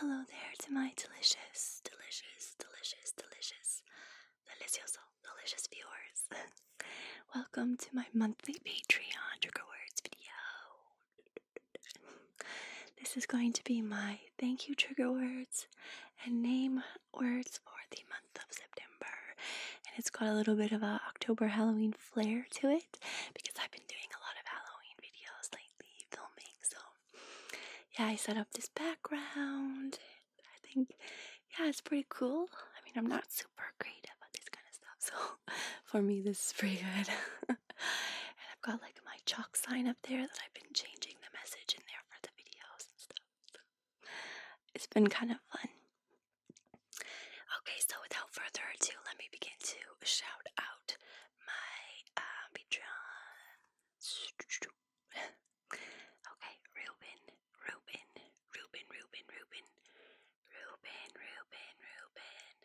Hello there to my delicious, delicious, delicious, delicious, delicioso, delicious viewers. Welcome to my monthly Patreon trigger words video. this is going to be my thank you trigger words and name words for the month of September. And it's got a little bit of a October Halloween flair to it because I've been doing a lot of Halloween videos lately, filming. So, yeah, I set up this background. I think, yeah, it's pretty cool. I mean, I'm not super great about this kind of stuff, so for me, this is pretty good. and I've got like my chalk sign up there that I've been changing the message in there for the videos and stuff. It's been kind of fun. Okay, so without further ado, let me begin to shout out my uh, Patreon. okay, Ruben, Ruben, Ruben, Ruben, Ruben, Ruben, Ruben, Ruben.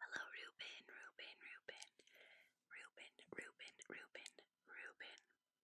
Hello, Ruben, Ruben, Ruben, Ruben, Ruben, Ruben, Ruben,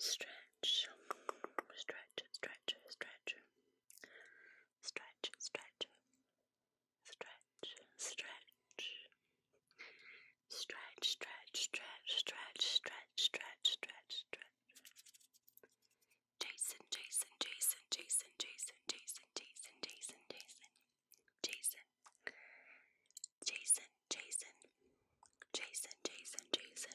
Stretch, stretch, stretch, stretch, stretch, stretch, stretch, stretch, stretch, stretch, stretch, stretch, stretch, stretch, stretch, stretch. Jason, Jason, Jason, Jason, Jason, Jason, Jason, Jason, Jason, Jason, Jason, Jason, Jason, Jason, Jason.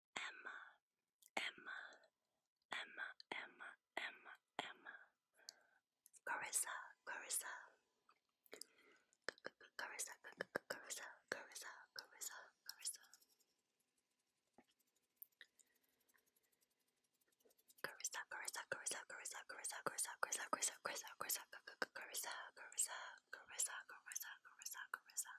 Emma, Emma, Emma, Emma, Emma, Emma. Carissa, Carissa. Carissa, Carissa, Carissa, Carissa, Carissa. Carissa, Carissa, Carissa, Carissa, Carissa, Carissa, Carissa, Carissa, Carissa, Carissa, Carissa, Carissa, Carissa, Carissa, Carissa, Carissa, Carissa.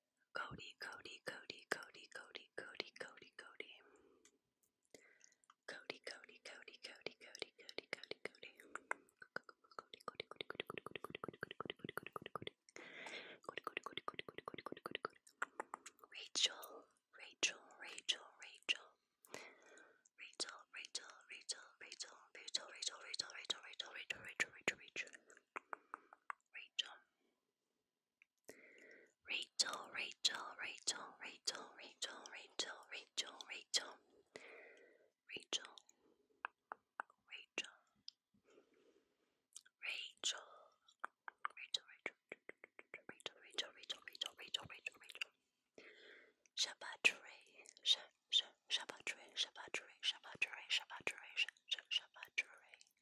Cody, Cody, Cody, Cody, Cody, Cody, Cody, Cody. Cody, Cody, Cody, Cody, Cody, Cody, Cody, Cody. Rachel, Rachel, Rachel, Rachel. Rachel, Rachel, Rachel, Rachel, Rachel, Rachel, Rachel, Rachel, Rachel, Rachel, Rachel, Rachel, Rachel. Rachel. Rachel, Rachel, Rachel, Rachel, Rachel, Rachel, Rachel, Rachel, Rachel, Rachel, Rachel, Rachel, Rachel, Rachel, Rachel, Rachel, Rachel, Rachel, Rachel, Shabatray, Shabatray, Shabatray, Shabatray, Shabatray, Shabatray, Shabatray,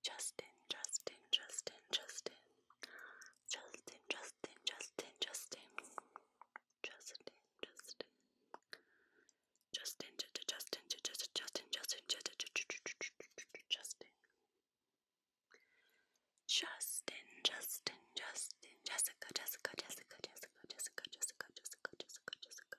Justin, Justin, Justin, Justin, Justin, Justin, Justin, Justin, Justin, Justin, Justin, Justin, Justin, Justin, Justin. Justin, Justin, Justin, Jessica, Jessica, Jessica, Jessica, Jessica, Jessica, Jessica, Jessica, Jessica,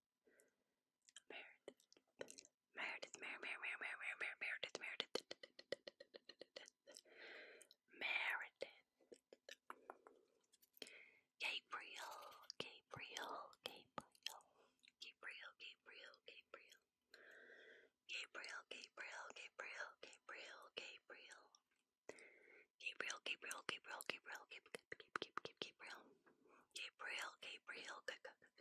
Meredith, Meredith, Mer, Mer, Mer, Mer, Mer, Mer, Meredith, Meredith, Meredith. Gabriel, Gabriel, Gabriel, Gabriel, Gabriel, Gabriel, Gabriel, Gabriel, Gabriel, Gabriel, Gabriel. Gabriel, Gabriel, Gabriel, Gabriel, Gabriel, Gabriel, Gabriel, Gabriel, Gabriel,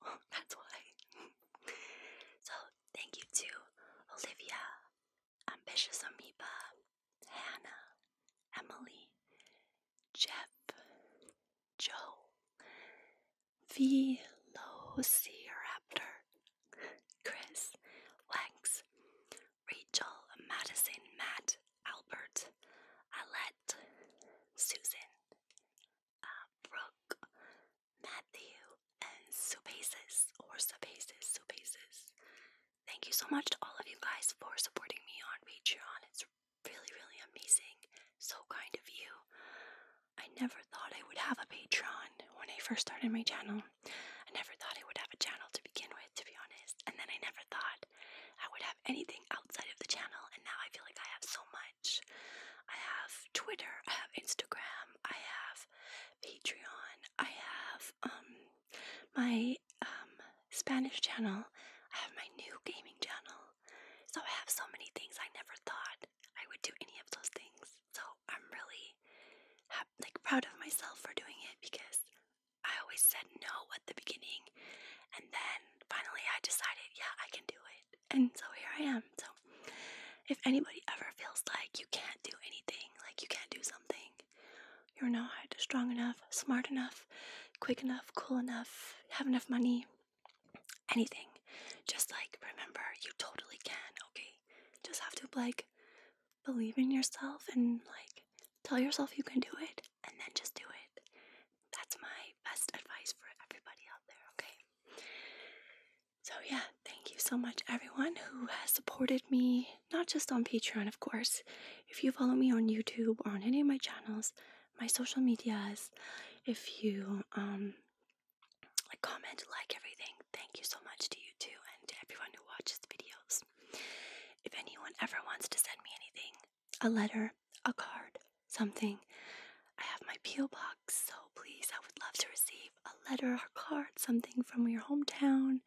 That's why. so thank you to Olivia, Ambitious Amoeba, Hannah, Emily, Jeff, Joe, Velociraptor, Chris, Lex, Rachel, Madison, Matt, Albert, Alette, Susan, uh, Brooke, Matthew, and Subasis, or Subasis, Subasis. Thank you so much to all of you guys for supporting me on Patreon. It's really, really amazing. So kind of you. I never thought I would have a Patreon when I first started my channel. I never thought I would have a channel to begin with, to be honest. And then I never thought I would have anything outside of the channel, and now I feel like I have so much. I have Twitter, I have Instagram, I have Patreon, I have um my um Spanish channel, I have my new gaming channel. So I have so many things I never thought I would do any of those things. So I'm really like proud of myself for doing it because I always said no at the beginning and then finally I decided, yeah, I can do it. And so here I am. So if anybody ever feels like you can't do anything, like you can't do something, you're not strong enough, smart enough, quick enough, cool enough, have enough money, anything, just like remember you totally can, okay? Just have to like believe in yourself and like tell yourself you can do it and then just do it that's my best advice for everybody out there, okay? So, yeah, thank you so much, everyone who has supported me, not just on Patreon, of course. If you follow me on YouTube or on any of my channels, my social medias, if you um, like, comment, like everything, thank you so much to you too and to everyone who watches videos. If anyone ever wants to send me anything, a letter, a card, something. I have my peel box, so please, I would love to receive a letter or card, something from your hometown,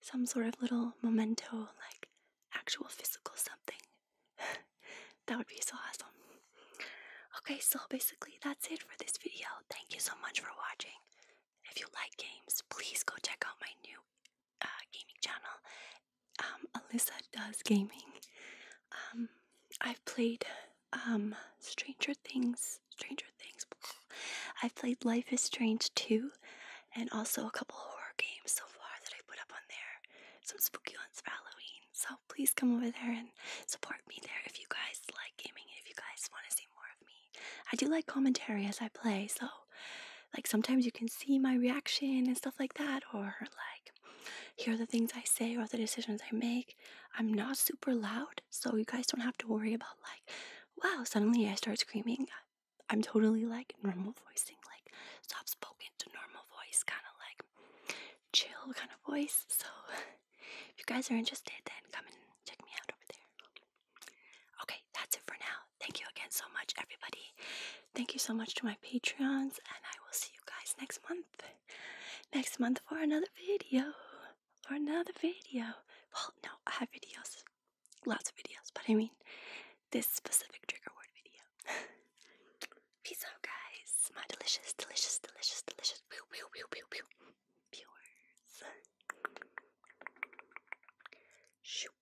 some sort of little memento, like actual physical something. that would be so awesome. Okay, so basically, that's it for this video. Thank you so much for watching. If you like games, please go check out my new uh, gaming channel um, Alyssa Does Gaming. Um, I've played um, Stranger Things, Stranger Things. I've played Life is Strange too, and also a couple horror games so far that I put up on there. Some spooky ones for Halloween. So please come over there and support me there if you guys like gaming if you guys want to see more of me. I do like commentary as I play, so like sometimes you can see my reaction and stuff like that or like here are the things I say or the decisions I make. I'm not super loud, so you guys don't have to worry about like, wow, suddenly I start screaming. I'm totally like normal voicing, like soft spoken to normal voice, kind of like chill kind of voice. So if you guys are interested, then come and check me out over there. Okay, that's it for now. Thank you again so much, everybody. Thank you so much to my Patreons, and I will see you guys next month. Next month for another video. or another video. Well, no, I have videos. Lots of videos, but I mean this specific trigger word video. Peace out, guys. My delicious, delicious, delicious, delicious. Viewers. Shoot.